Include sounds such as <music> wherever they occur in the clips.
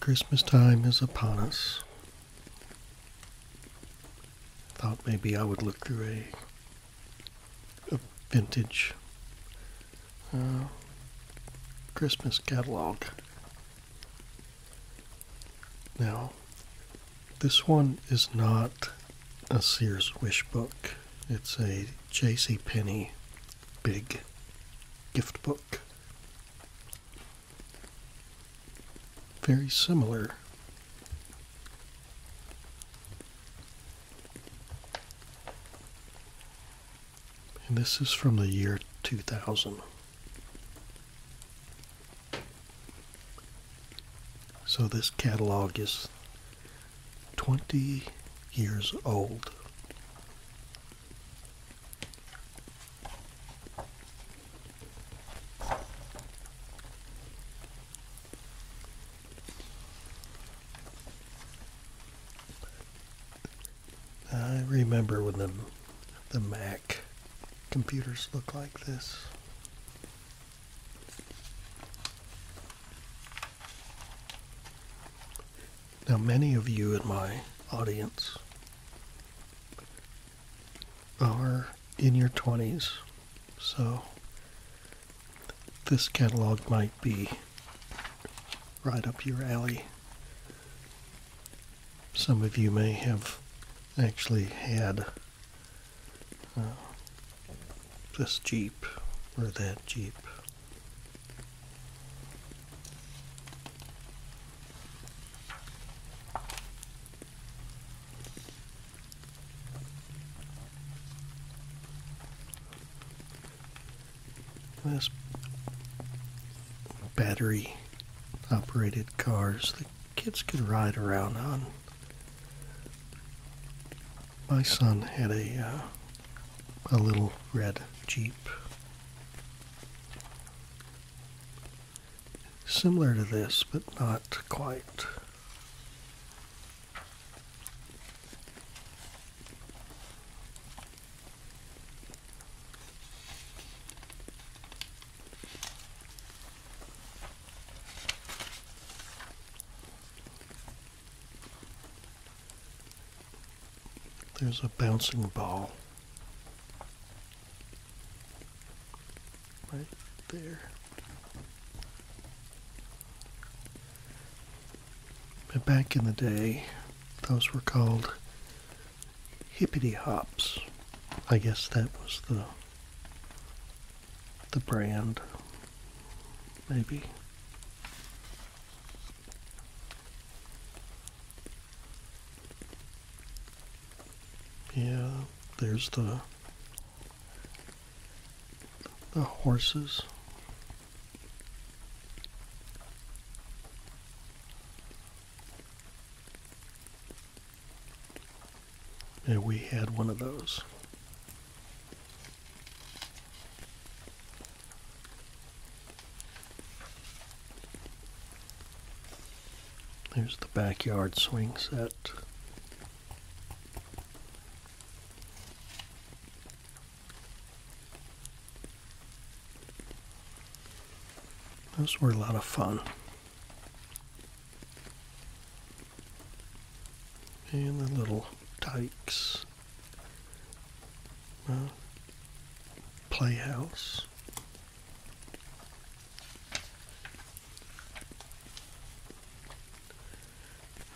Christmas time is upon us. Thought maybe I would look through a, vintage uh, Christmas catalog. Now, this one is not a Sears Wish book. It's a J.C. Penney big gift book. Very similar. And this is from the year 2000. So this catalog is 20 years old. I remember when the, the Mac computers looked like this. Now, many of you in my audience are in your 20s, so this catalog might be right up your alley. Some of you may have actually had uh, this Jeep or that Jeep. This battery operated cars the kids could ride around on my son had a uh, a little red Jeep, similar to this, but not quite. There's a bouncing ball right there. But back in the day, those were called hippity hops. I guess that was the the brand, maybe. Yeah, there's the the horses. And we had one of those. There's the backyard swing set. Those were a lot of fun. And the little dikes playhouse.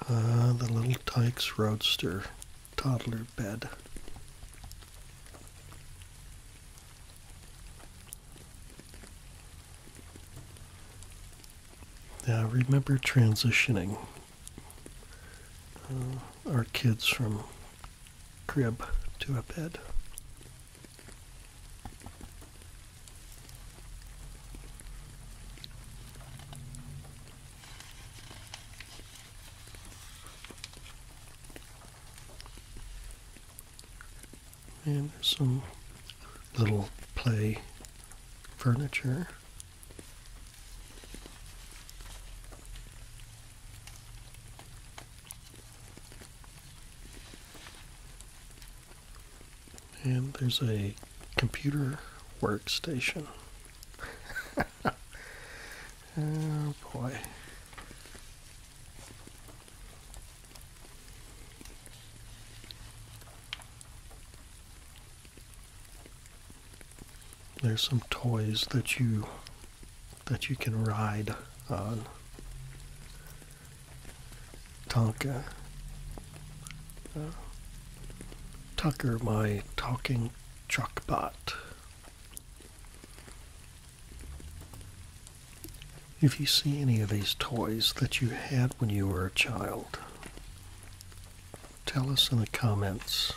Ah, the little Tykes Roadster toddler bed. Now remember transitioning uh, our kids from crib to a bed. And there's some little play furniture and there's a computer workstation. <laughs> oh boy. There's some toys that you that you can ride on. Tonka. Uh, Tucker, my talking truck bot. If you see any of these toys that you had when you were a child, Tell us in the comments.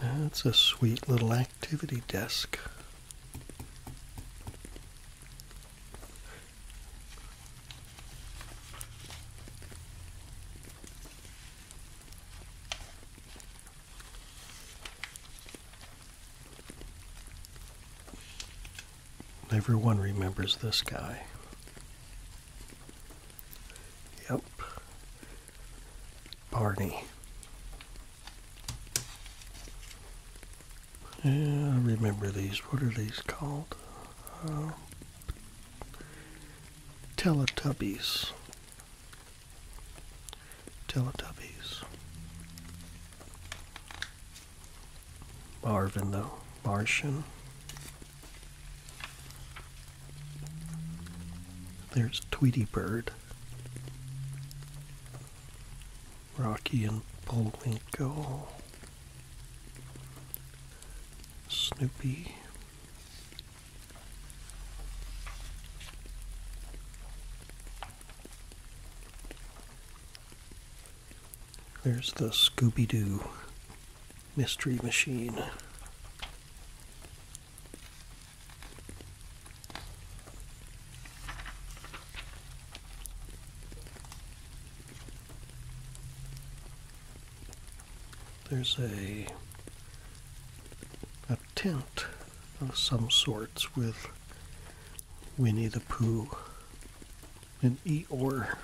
That's a sweet little activity desk. Everyone remembers this guy. Yep. Barney. Yeah, I remember these. What are these called? Um, Teletubbies. Teletubbies. Marvin the Martian. There's Tweety Bird. Rocky and Bullwinkle. Snoopy. There's the Scooby Doo Mystery Machine there's a a tent of some sorts with Winnie the Pooh and Eeyore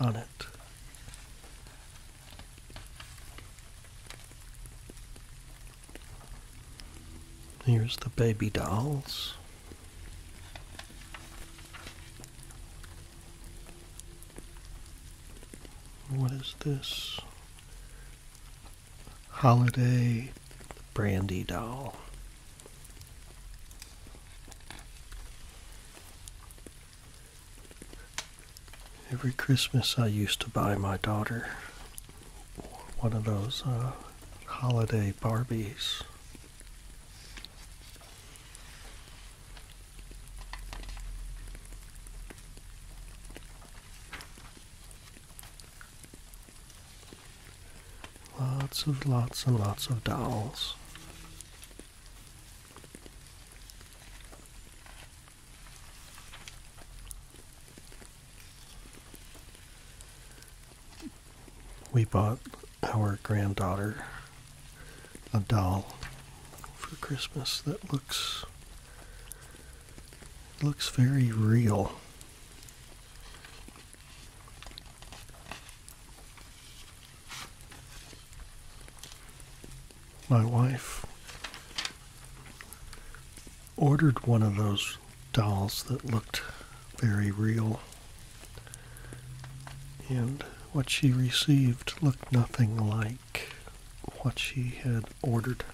on it. Here's the baby dolls. What is this? Holiday Brandy Doll. Every Christmas I used to buy my daughter one of those uh, holiday Barbies. Lots of lots and lots of dolls we bought our granddaughter a doll for Christmas that looks looks very real. My wife ordered one of those dolls that looked very real and what she received looked nothing like what she had ordered.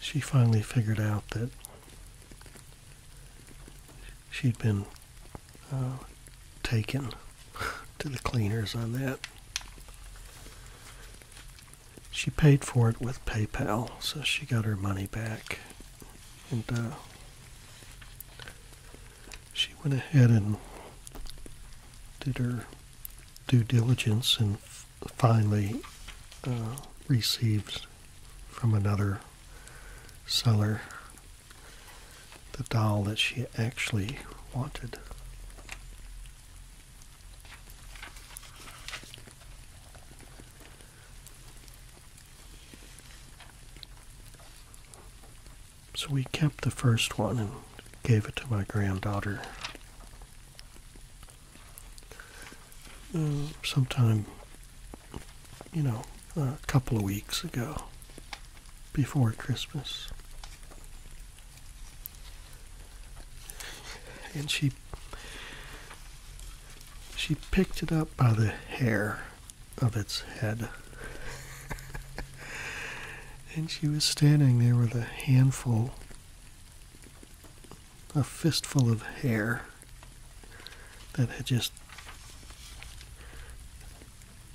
She finally figured out that she'd been uh, taken <laughs> to the cleaners on that she paid for it with PayPal, so she got her money back. And uh, she went ahead and did her due diligence and finally uh, received from another seller the doll that she actually wanted. So we kept the first one and gave it to my granddaughter. Uh, sometime, you know, a couple of weeks ago, before Christmas and she she picked it up by the hair of its head. and she was standing there with a handful, a fistful of hair that had just,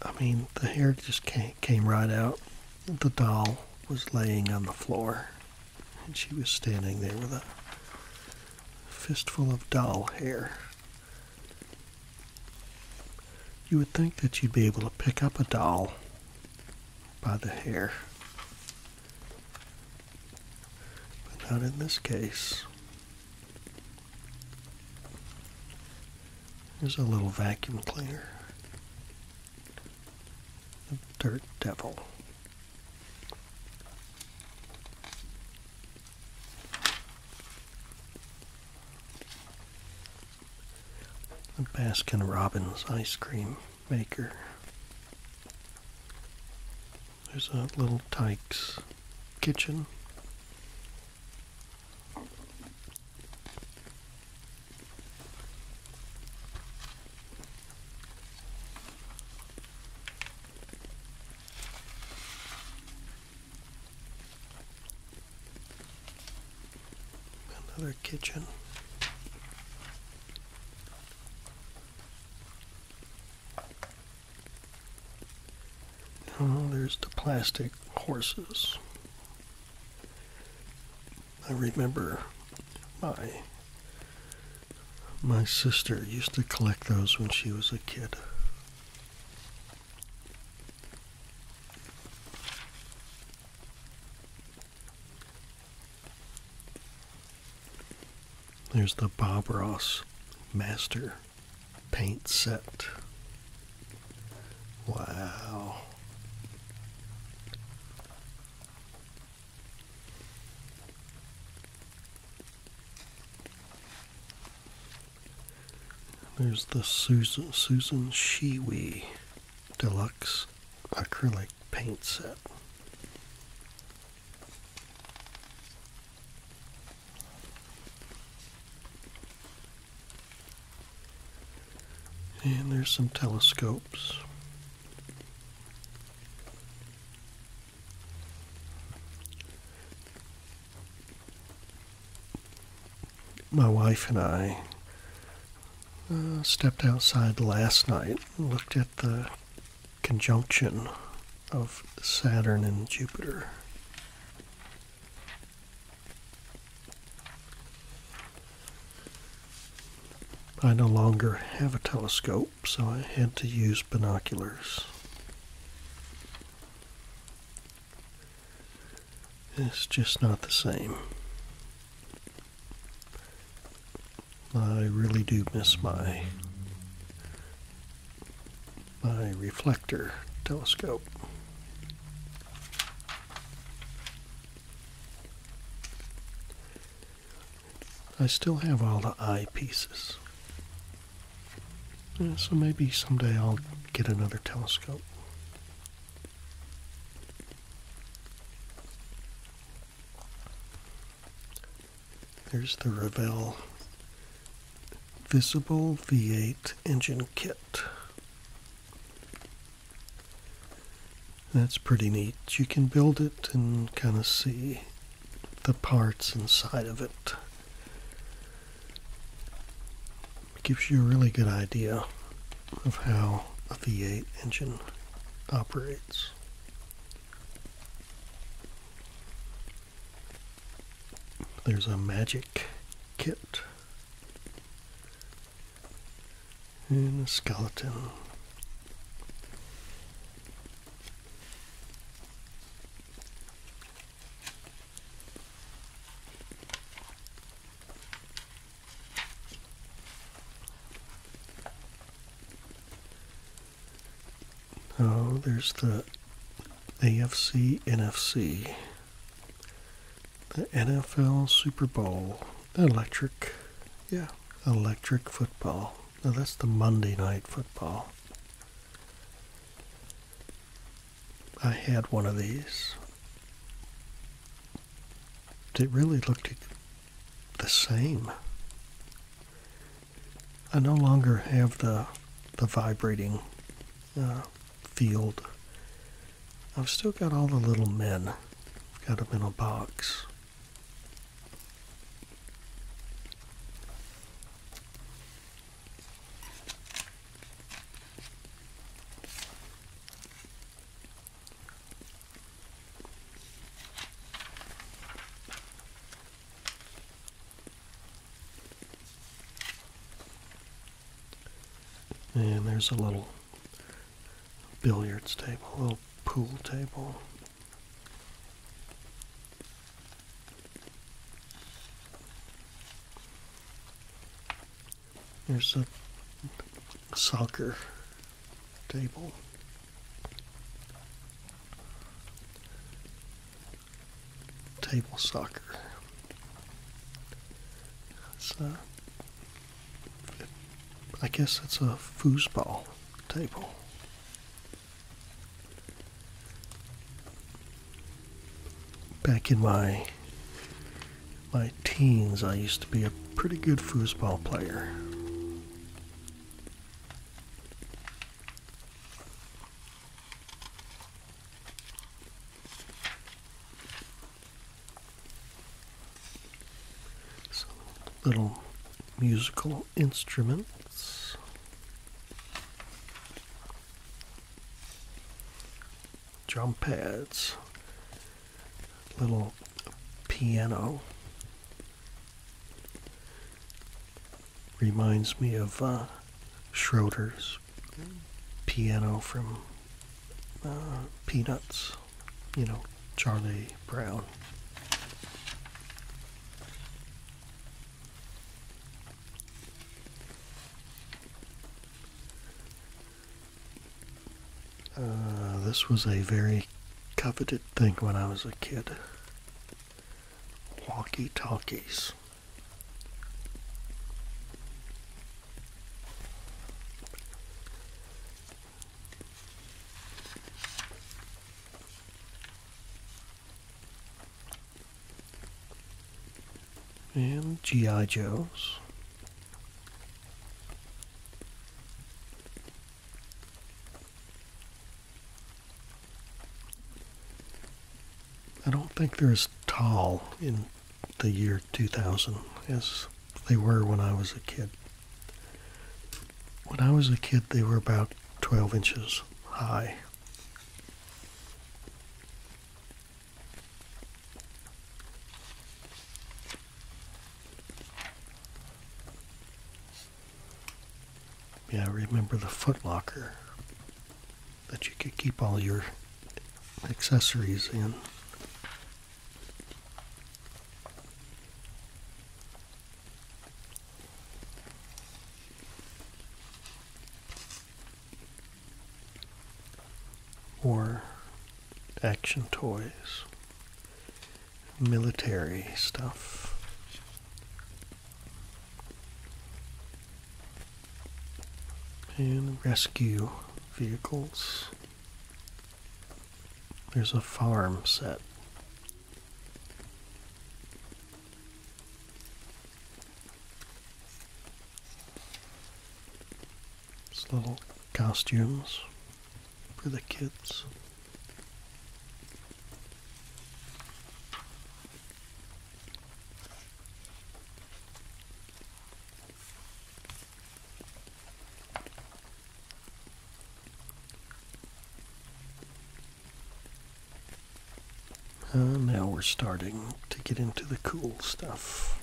I mean, the hair just came, came right out. The doll was laying on the floor and she was standing there with a fistful of doll hair. You would think that you'd be able to pick up a doll by the hair. But not in this case. There's a little vacuum cleaner the Dirt Devil. The Baskin Robbins ice cream maker. There's a little Tyke's kitchen. Another kitchen. Oh, there's the plastic horses. I remember my my sister used to collect those when she was a kid. There's the Bob Ross Master Paint Set. Wow. There's the Susan, Susan Shiwi Deluxe Acrylic Paint Set. And there's some telescopes. My wife and I uh, stepped outside last night and looked at the conjunction of Saturn and Jupiter. I no longer have a telescope, so I had to use binoculars. It's just not the same. I really do miss my my reflector telescope. I still have all the eyepieces, so maybe someday I'll get another telescope. There's the Revell Visible V8 engine kit. That's pretty neat. You can build it and kind of see the parts inside of it. it. Gives you a really good idea of how a V8 engine operates. There's a magic kit and a skeleton. Oh, there's the AFC NFC, the NFL Super Bowl. Electric. Yeah. Electric football. that's the Monday night football. I had one of these. It really looked the same. I no longer have the the vibrating uh, field. I've still got all the little men. I've got them in a box. And there's a little billiards table, a little pool table. There's a soccer table. Table soccer. It's a uh, I guess it's a foosball table. Back in my my teens, I used to be a pretty good foosball player. Some little musical instruments. Drum pads, little piano. Reminds me of uh, Schroeder's piano from uh, Peanuts you know, Charlie Brown. Uh, this was a very coveted thing when I was a kid. Walkie talkies and G.I. Joes. I don't think they're as tall in the year 2000 as they were when I was a kid. When I was a kid, they were about 12 inches high. Yeah, remember the foot locker that you could keep all your accessories in. Or action toys, military stuff. And rescue vehicles. There's a farm set little costumes for the kids now we're starting to get into the cool stuff.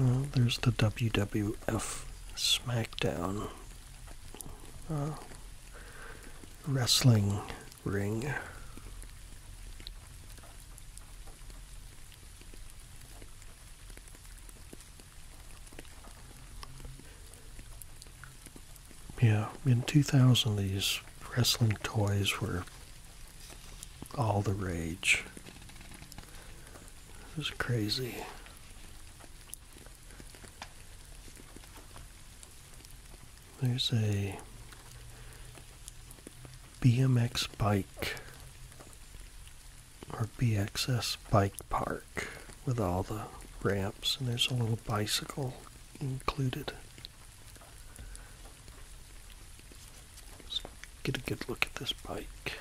Uh, there's the WWF SmackDown uh, wrestling ring. Yeah, in 2000, these wrestling toys were all the rage. It was crazy. There's a BMX bike or BXS bike park with all the ramps, and there's a little bicycle included. get a good look at this bike.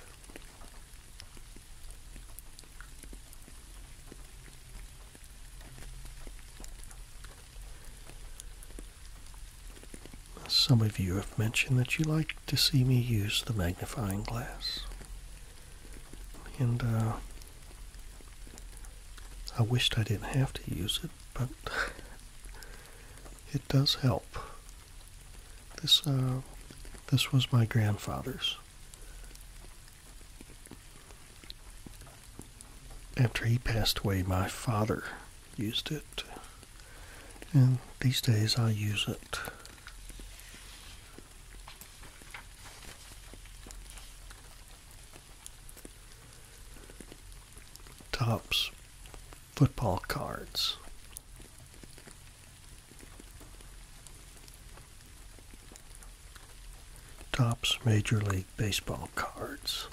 Some of you have mentioned that you like to see me use the magnifying glass. And uh, I wished I didn't have to use it, but <laughs> it does help. This, uh, this was my grandfather's after he passed away, my father used it. And these days I use it. Tops football cards. Tops Major League baseball cards.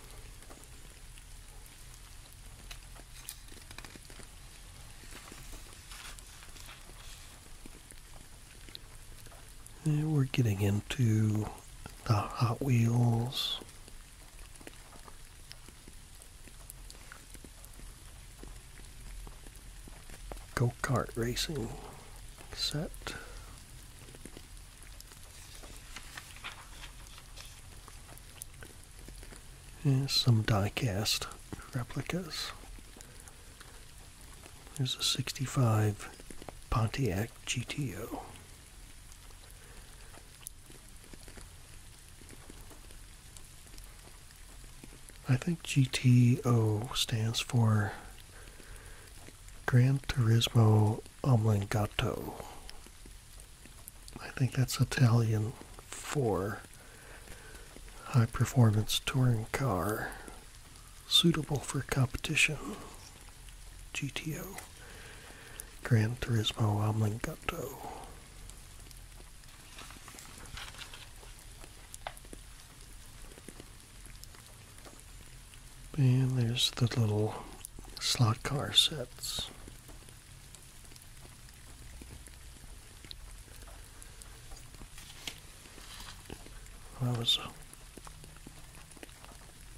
we're getting into the Hot Wheels. Go-kart racing set. Here's some die replicas. There's a 65 Pontiac GTO. I think GTO stands for Grand Turismo omelingato. I think that's Italian for high performance touring car suitable for competition. GTO Grand Turismo Omelingato. And there's the little slot car sets. I was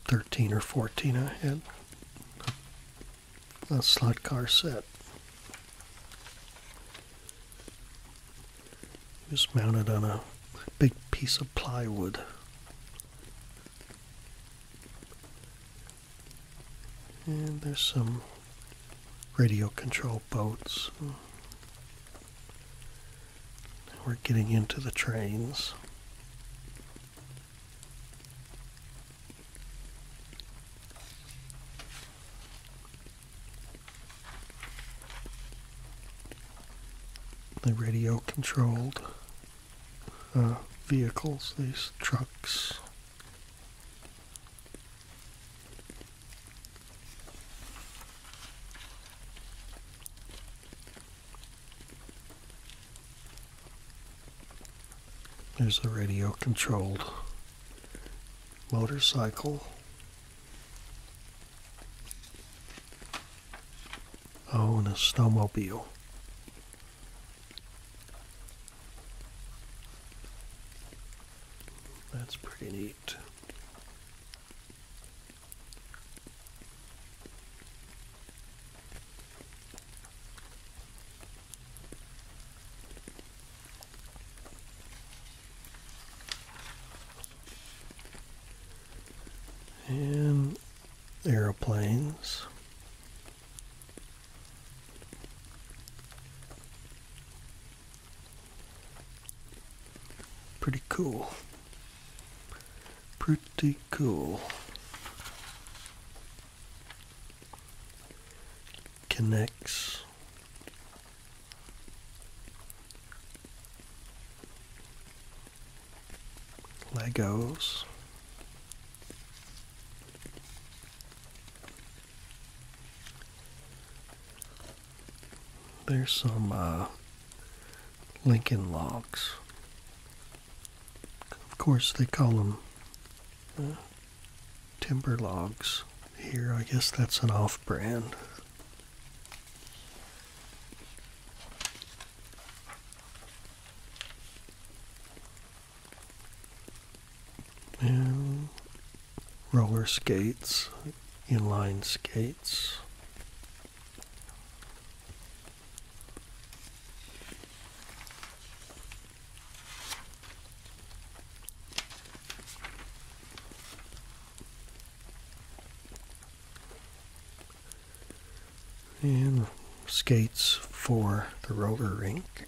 13 or 14, I had a slot car set. It was mounted on a big piece of plywood. And there's some radio control boats. We're getting into the trains. The radio controlled uh, vehicles, these trucks. There's a radio controlled motorcycle own a snowmobile. That's pretty neat. And aeroplanes. Pretty cool. Pretty cool. Connects. Legos. There's some uh, Lincoln logs. Of course, they call them uh, timber logs here. I guess that's an off brand and roller skates, inline skates and skates for the roller rink.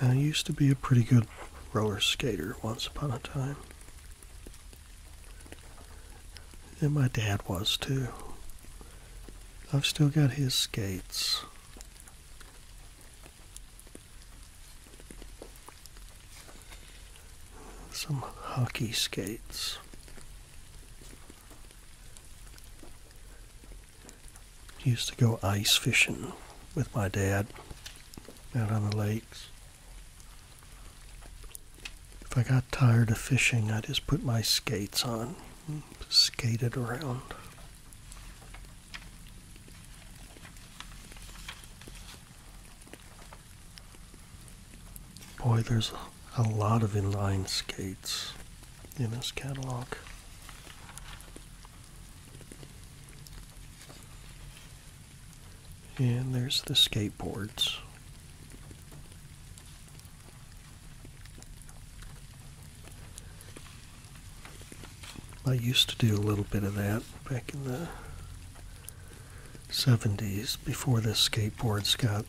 I used to be a pretty good roller skater once upon a time. And my dad was too. I've still got his skates. Some hockey skates. Used to go ice fishing with my dad out on the lakes. If I got tired of fishing, I just put my skates on and skated around. Boy, there's a lot of inline skates in this catalog. And there's the skateboards. I used to do a little bit of that back in the 70s before this skateboards got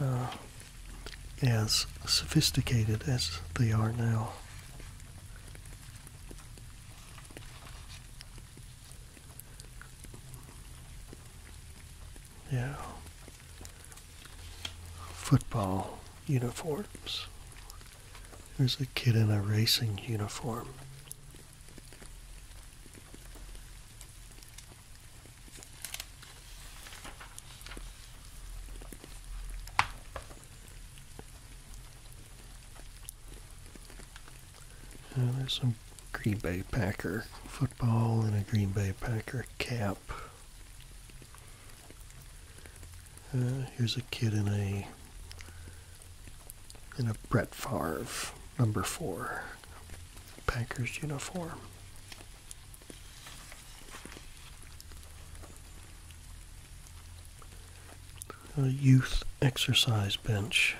uh, as sophisticated as they are now. Yeah. Football uniforms. There's a kid in a racing uniform uh, there's some Green Bay Packer football and a Green Bay Packer cap. Uh, here's a kid in a in a Brett Favre number four Packers uniform. A youth exercise bench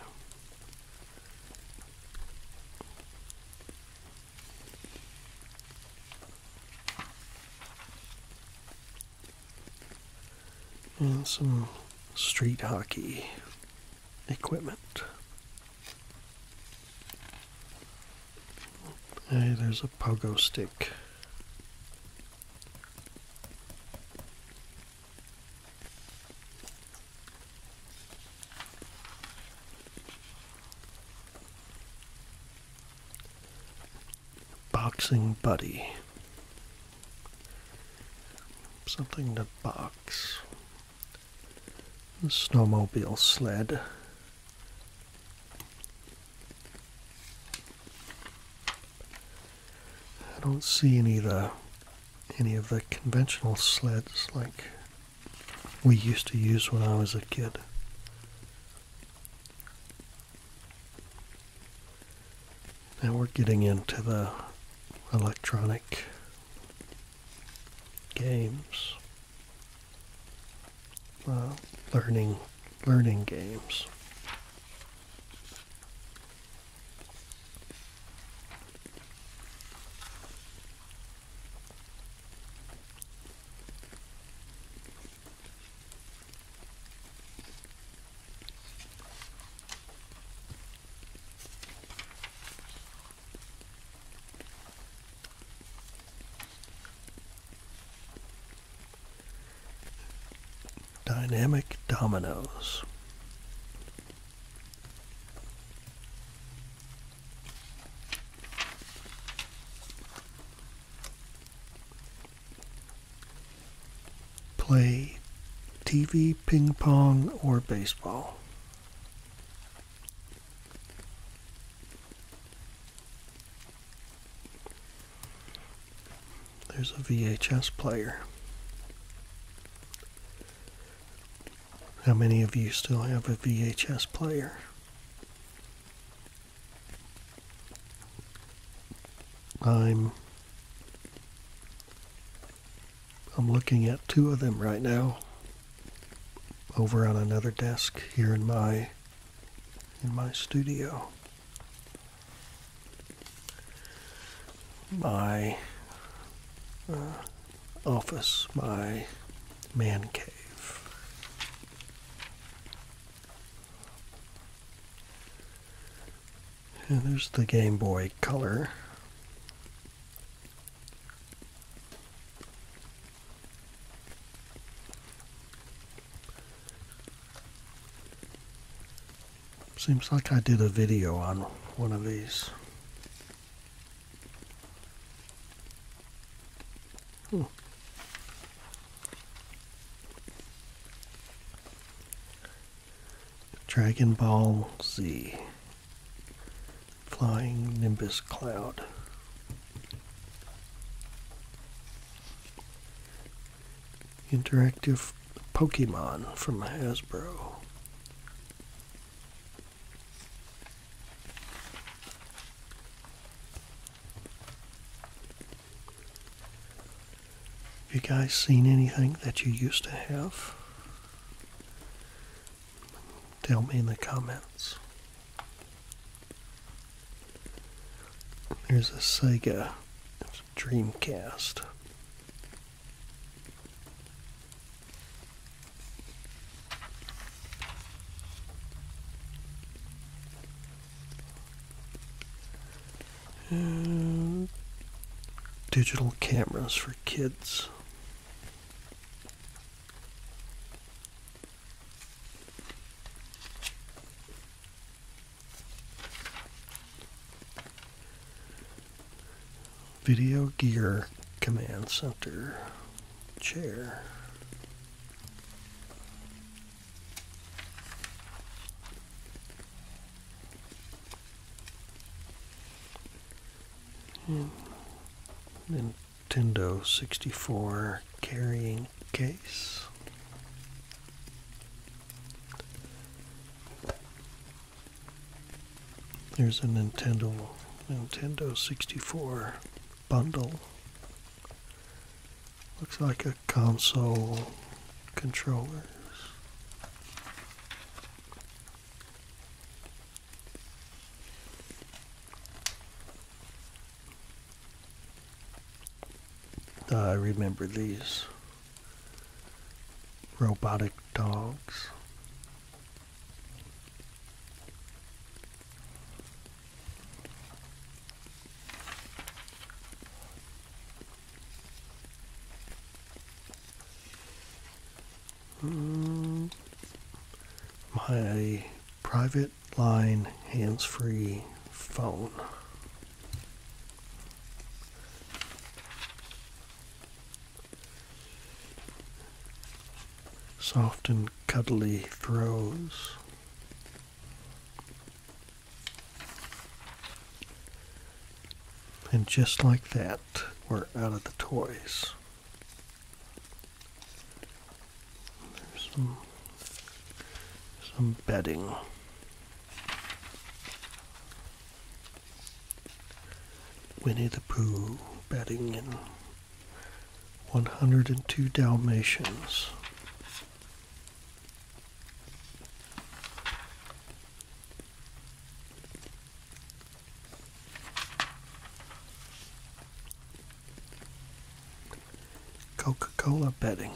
and mm, some street hockey equipment. Hey, there's a pogo stick. Boxing Buddy. Something to box. The snowmobile sled. I don't see any of the any of the conventional sleds like we used to use when I was a kid. Now we're getting into the electronic games, learning, learning games. Dynamic dominoes play TV, ping pong, or baseball. There's a VHS player. How many of you still have a VHS player? I'm I'm looking at two of them right now over on another desk here in my in my studio. My uh, office, my man cave there's the Game Boy Color. Seems like I did a video on one of these. Hmm. Dragon Ball Z. Flying Nimbus Cloud. Interactive Pokemon from Hasbro. Have You guys seen anything that you used to have? Tell me in the comments. There's a Sega Dreamcast. digital cameras for kids. Video Gear Command Center chair. Nintendo 64 carrying case. There's a Nintendo Nintendo 64 bundle. Looks like a console controllers. I remember these robotic dogs. Mm. my private line hands free phone. Soft and cuddly throws. And just like that, we're out of the toys. There's some, some bedding. Winnie the Pooh bedding in 102 Dalmatians. Coca Cola bedding,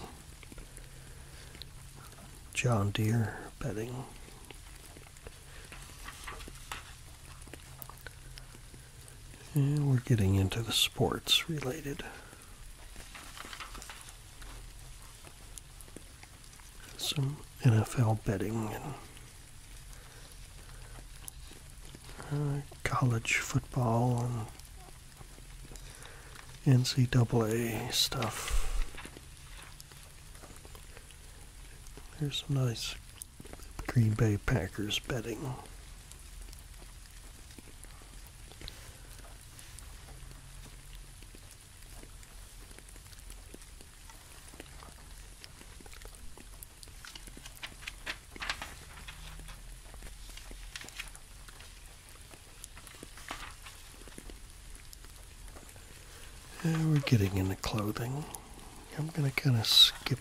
John Deere bedding. And we're getting into the sports related some NFL betting and uh, college football and NCAA stuff. There's some nice Green Bay Packers betting. Uh, we're getting into clothing. I'm going to kind of skip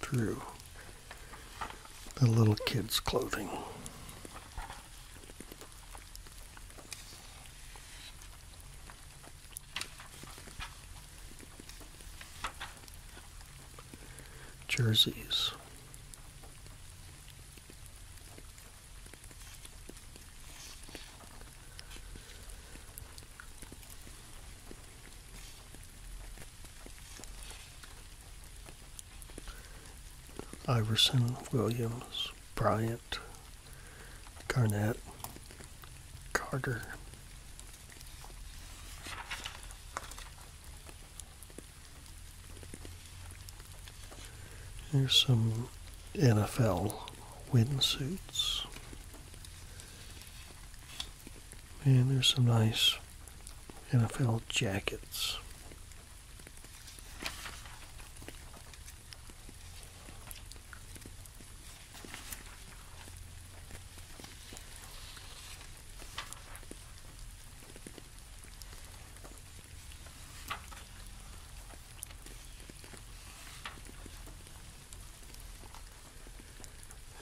through the little kids' clothing jerseys. Iverson, Williams, Bryant, Garnett, Carter. There's some NFL wind suits, And there's some nice NFL jackets.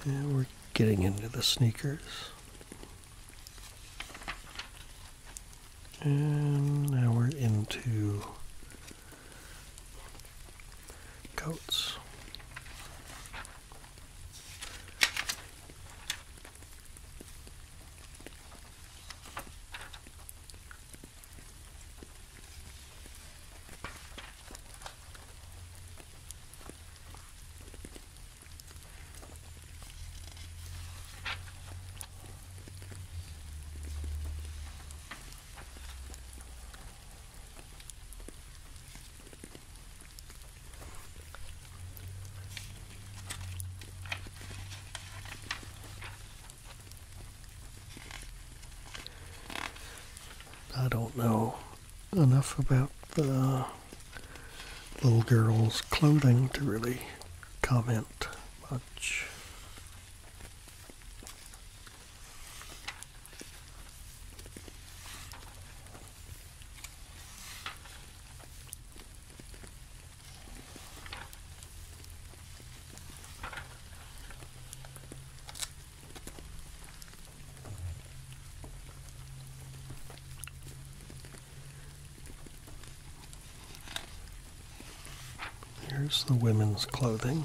And we're getting into the sneakers. And now we're into coats. I don't know enough about the little girl's clothing to really comment much. Here's the women's clothing.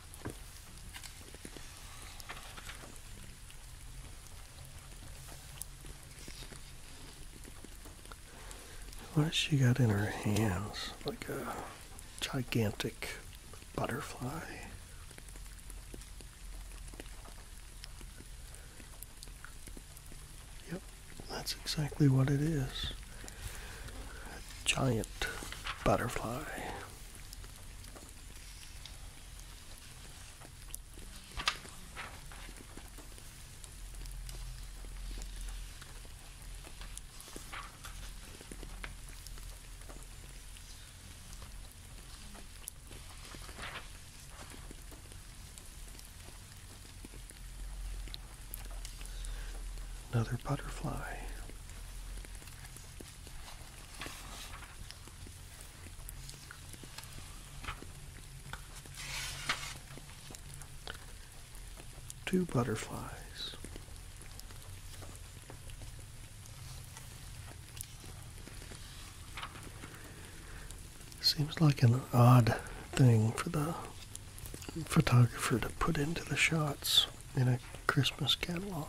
What she got in her hands? Like a gigantic butterfly. Yep, that's exactly what it is. A giant butterfly. Another butterfly. Two butterflies. Seems like an odd thing for the photographer to put into the shots in a Christmas catalog.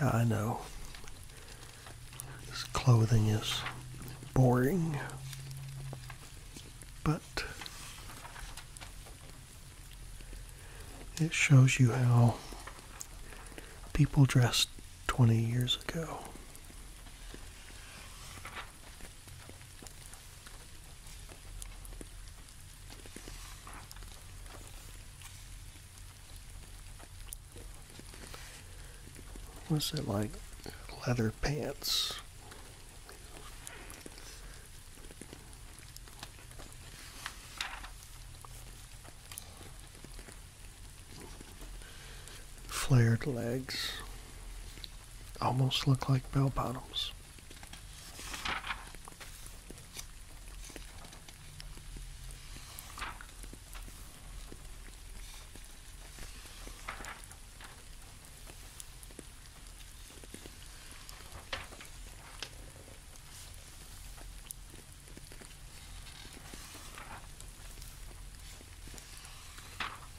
Yeah, I know. This clothing is boring, but it shows you how people dress 20 years ago. What's it like? Leather pants. Flared legs. Almost look like bell bottoms.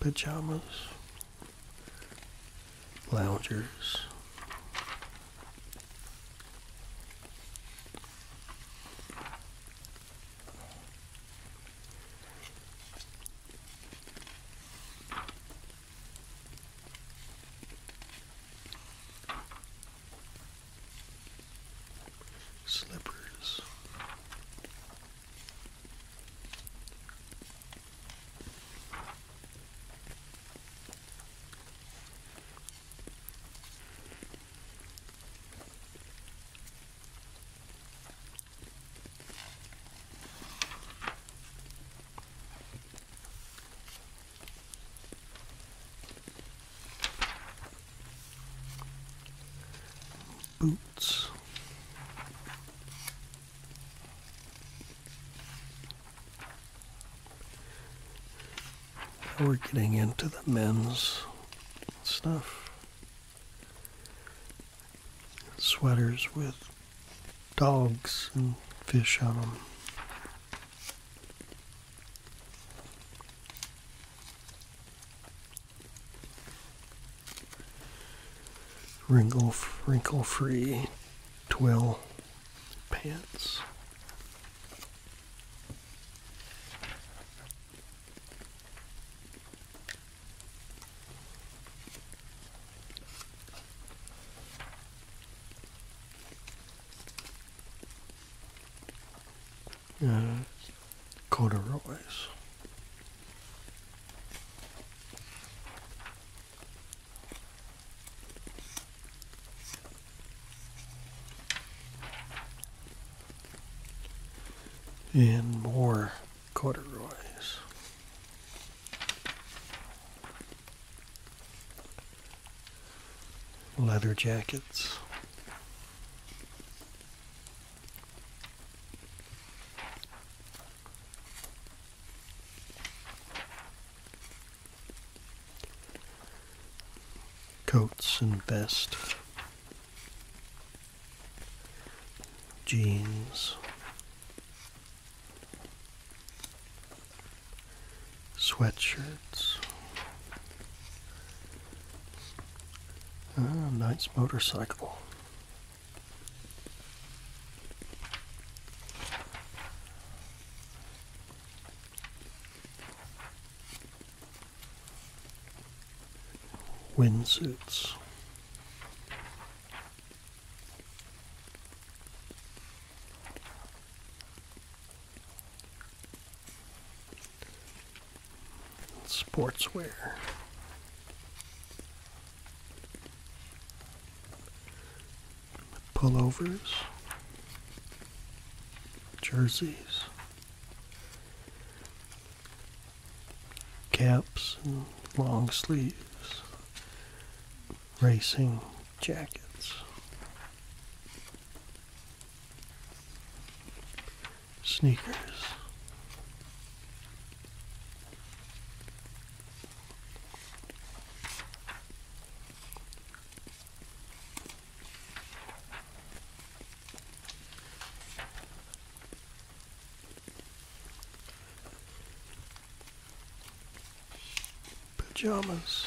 Pajamas. Loungers slippers. Boots. Now we're getting into the men's stuff. Sweaters with dogs and fish on them wrinkle wrinkle free twill pants uh, corduroys. And more corduroys leather jackets. Coats and vest, jeans, sweatshirts. Ah, nice motorcycle. Windsuits sportswear. Pullovers, jerseys, caps and long sleeves, racing jackets, Sneakers. Pajamas.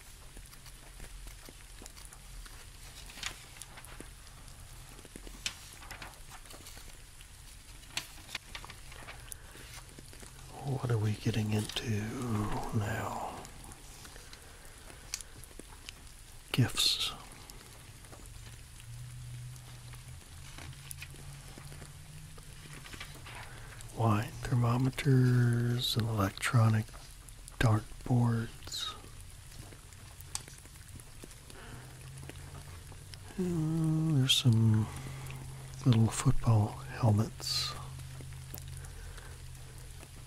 What are we getting into now? Gifts. Why thermometers and electronic dartboards. And oh, there's some little football helmets.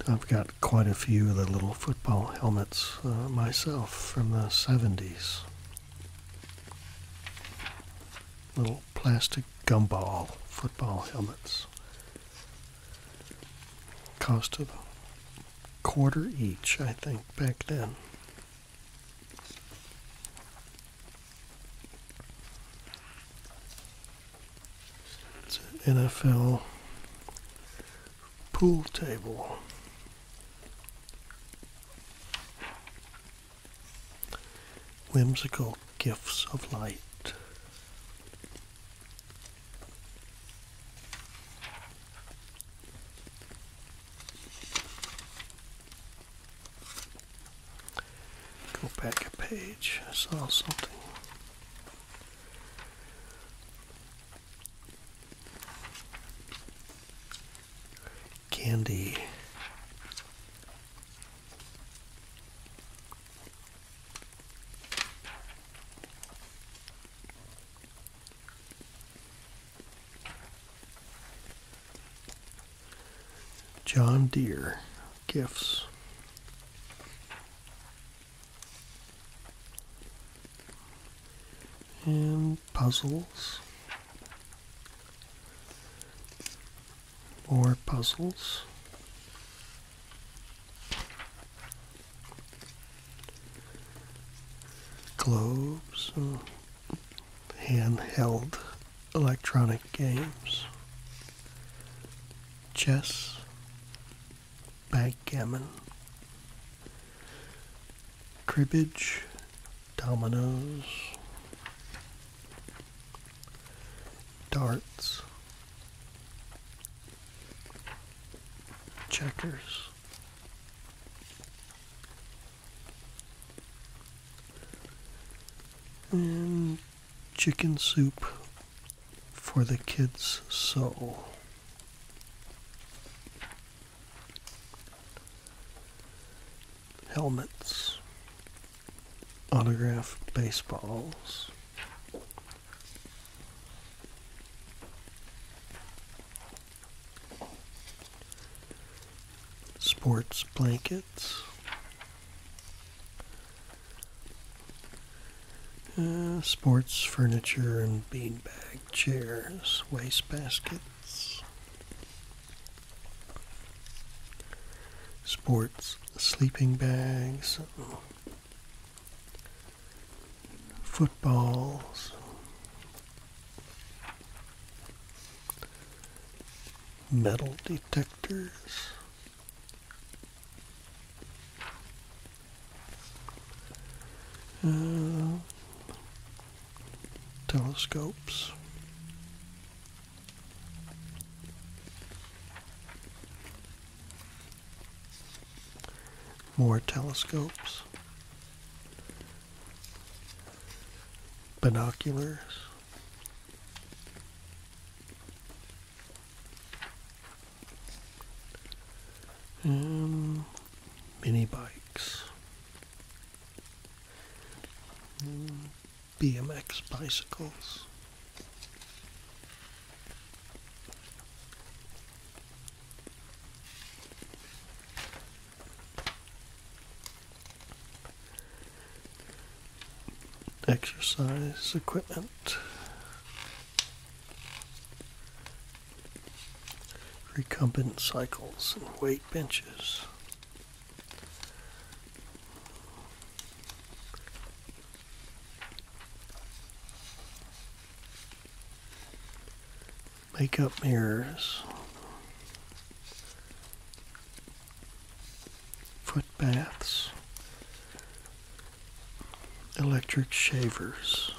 I've got quite a few of the little football helmets uh, myself from the 70s. Little plastic gumball football helmets cost of quarter each, I think, back then. It's an NFL pool table. Whimsical gifts of light. Go back a page. I saw something. Candy. John Deere gifts. And puzzles. or puzzles globes, handheld electronic games, chess, backgammon, cribbage, dominoes, darts, checkers. chicken soup for the kids' so Helmets, autograph baseballs, sports blankets. Uh, sports furniture and beanbag chairs, waste baskets, sports sleeping bags, footballs, metal detectors, uh, telescopes more telescopes, binoculars. mini bikes, BMX bicycles exercise equipment, recumbent cycles, and weight benches makeup mirrors, foot baths, electric shavers,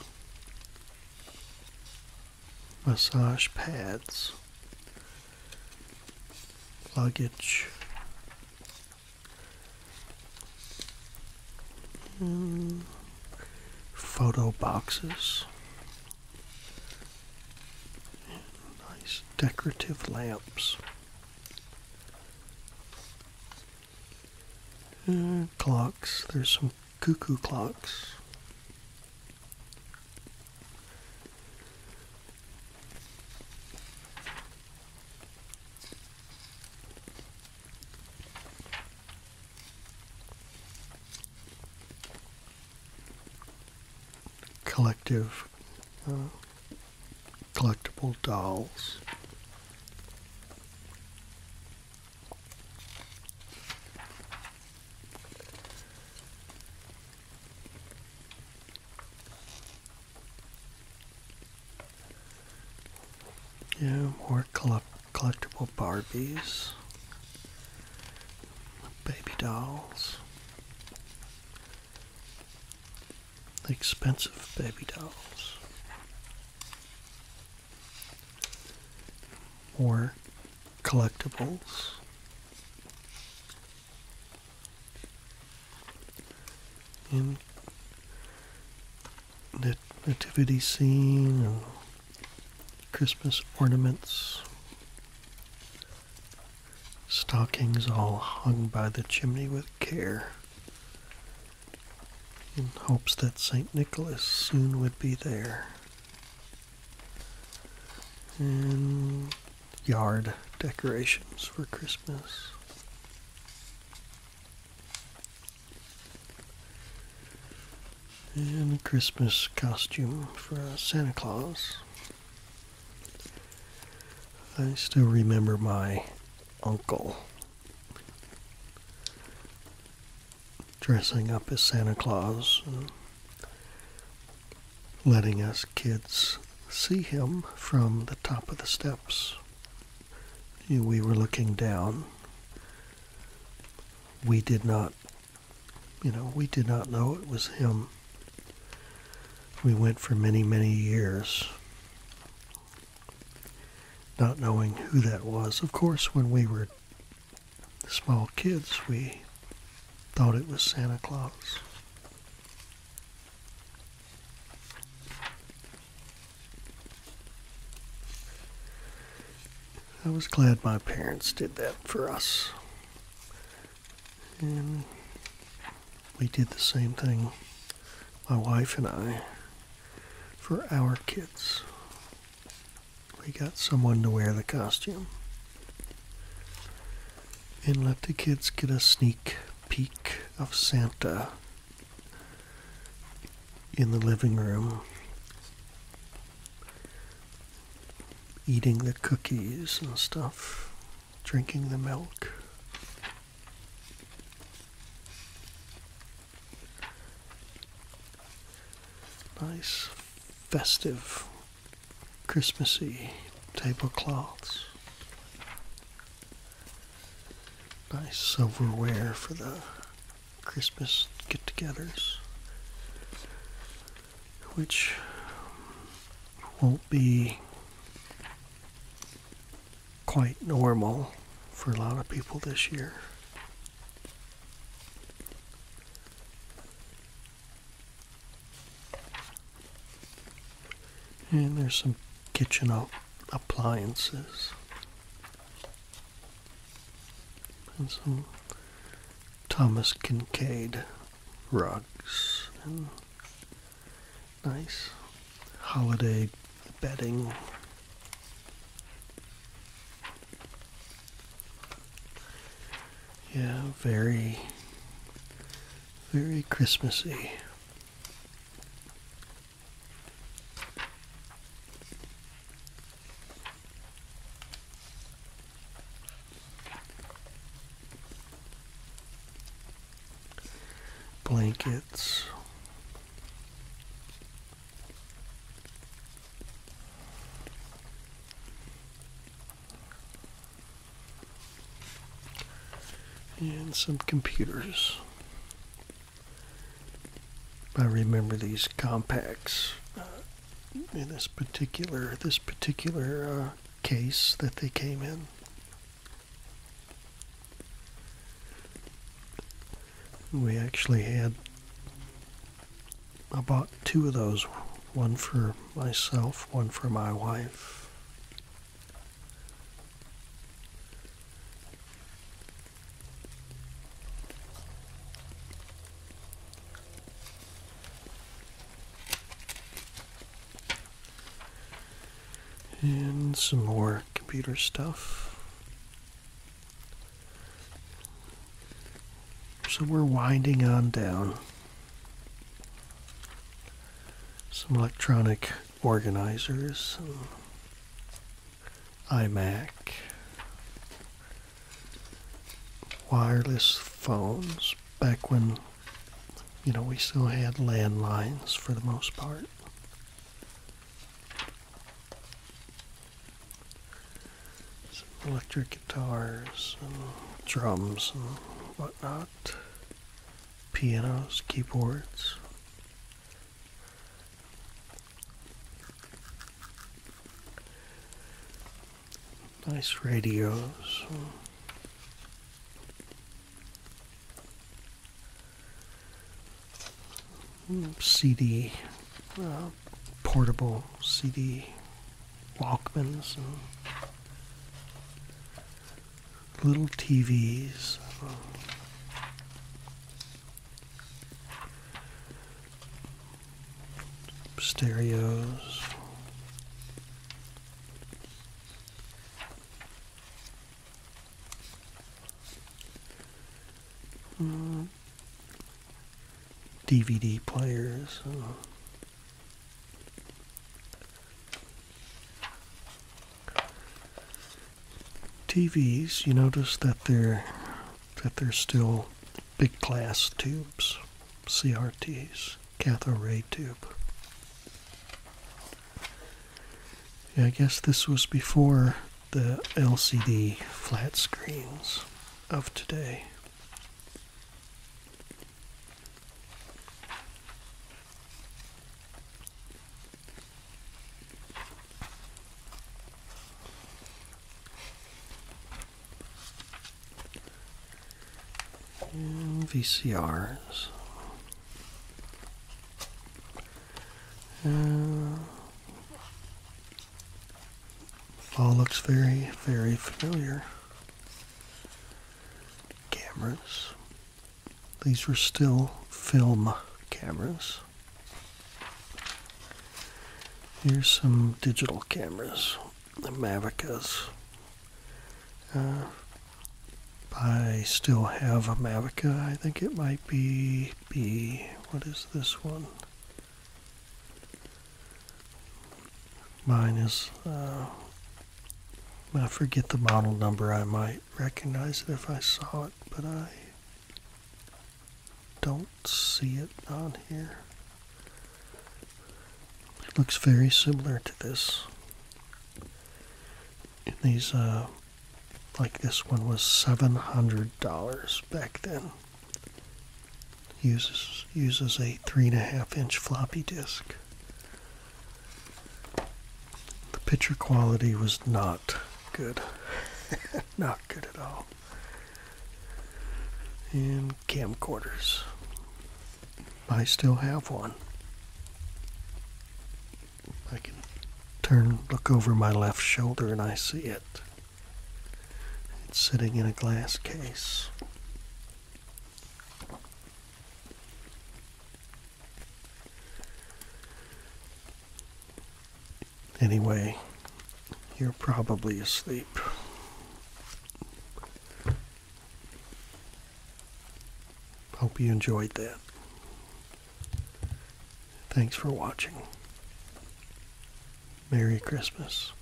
massage pads, luggage, photo boxes. Nice decorative lamps. Uh, clocks. There's some cuckoo clocks collective uh, collectible dolls. Yeah, more collect collectible Barbies, baby dolls, expensive baby dolls, or collectibles. And nativity scene and Christmas ornaments, stockings all hung by the chimney with care, in hopes that St. Nicholas soon would be there. And yard decorations for Christmas. And a Christmas costume for Santa Claus. I still remember my uncle dressing up as Santa Claus and letting us kids see him from the top of the steps. We were looking down we did not, you know, we did not know it was him. We went for many, many years not knowing who that was. Of course, when we were small kids, we thought it was Santa Claus. I was glad my parents did that for us. And we did the same thing, my wife and I, for our kids. We got someone to wear the costume and let the kids get a sneak peek of Santa in the living room eating the cookies and stuff, drinking the milk. Nice, festive, Christmassy tablecloths. Nice silverware for the Christmas get togethers, which won't be quite normal for a lot of people this year. And there's some kitchen appliances and some Thomas Kincaid rugs and nice holiday bedding. Yeah, very, very Christmassy blankets. And some computers. I remember these compacts uh, in this particular this particular uh, case that they came in. We actually had I bought two of those, one for myself, one for my wife. And some more computer stuff. So we're winding on down. Some electronic organizers iMac, wireless phones, back when, you know, we still had landlines for the most part. Some electric guitars and drums and whatnot, pianos, keyboards. Nice radios. CD, uh, portable CD Walkmans, uh, little TVs, stereos. DVD hmm. players. TVs, you notice that they're that there's still big glass tubes, CRTs, cathode ray tube. Yeah, I guess this was before the LCD flat screens of today. VCRs. Uh, all looks very, very familiar. Cameras. These were still film cameras. Here's some digital cameras, the Mavicas. Uh, I still have a Mavica. I think it might be B. What is this one? Mine is, uh, I forget the model number. I might recognize it if I saw it, but I don't see it on here. looks very similar to this. these, uh, like this one was $700 back then. Uses, uses a three and a half inch floppy disk. The picture quality was not good. <laughs> not good at all and camcorders. I still have one. I can turn, look over my left shoulder, and I see it. It's sitting in a glass case. Anyway, you're probably asleep. Hope you enjoyed that. Thanks for watching. Merry Christmas.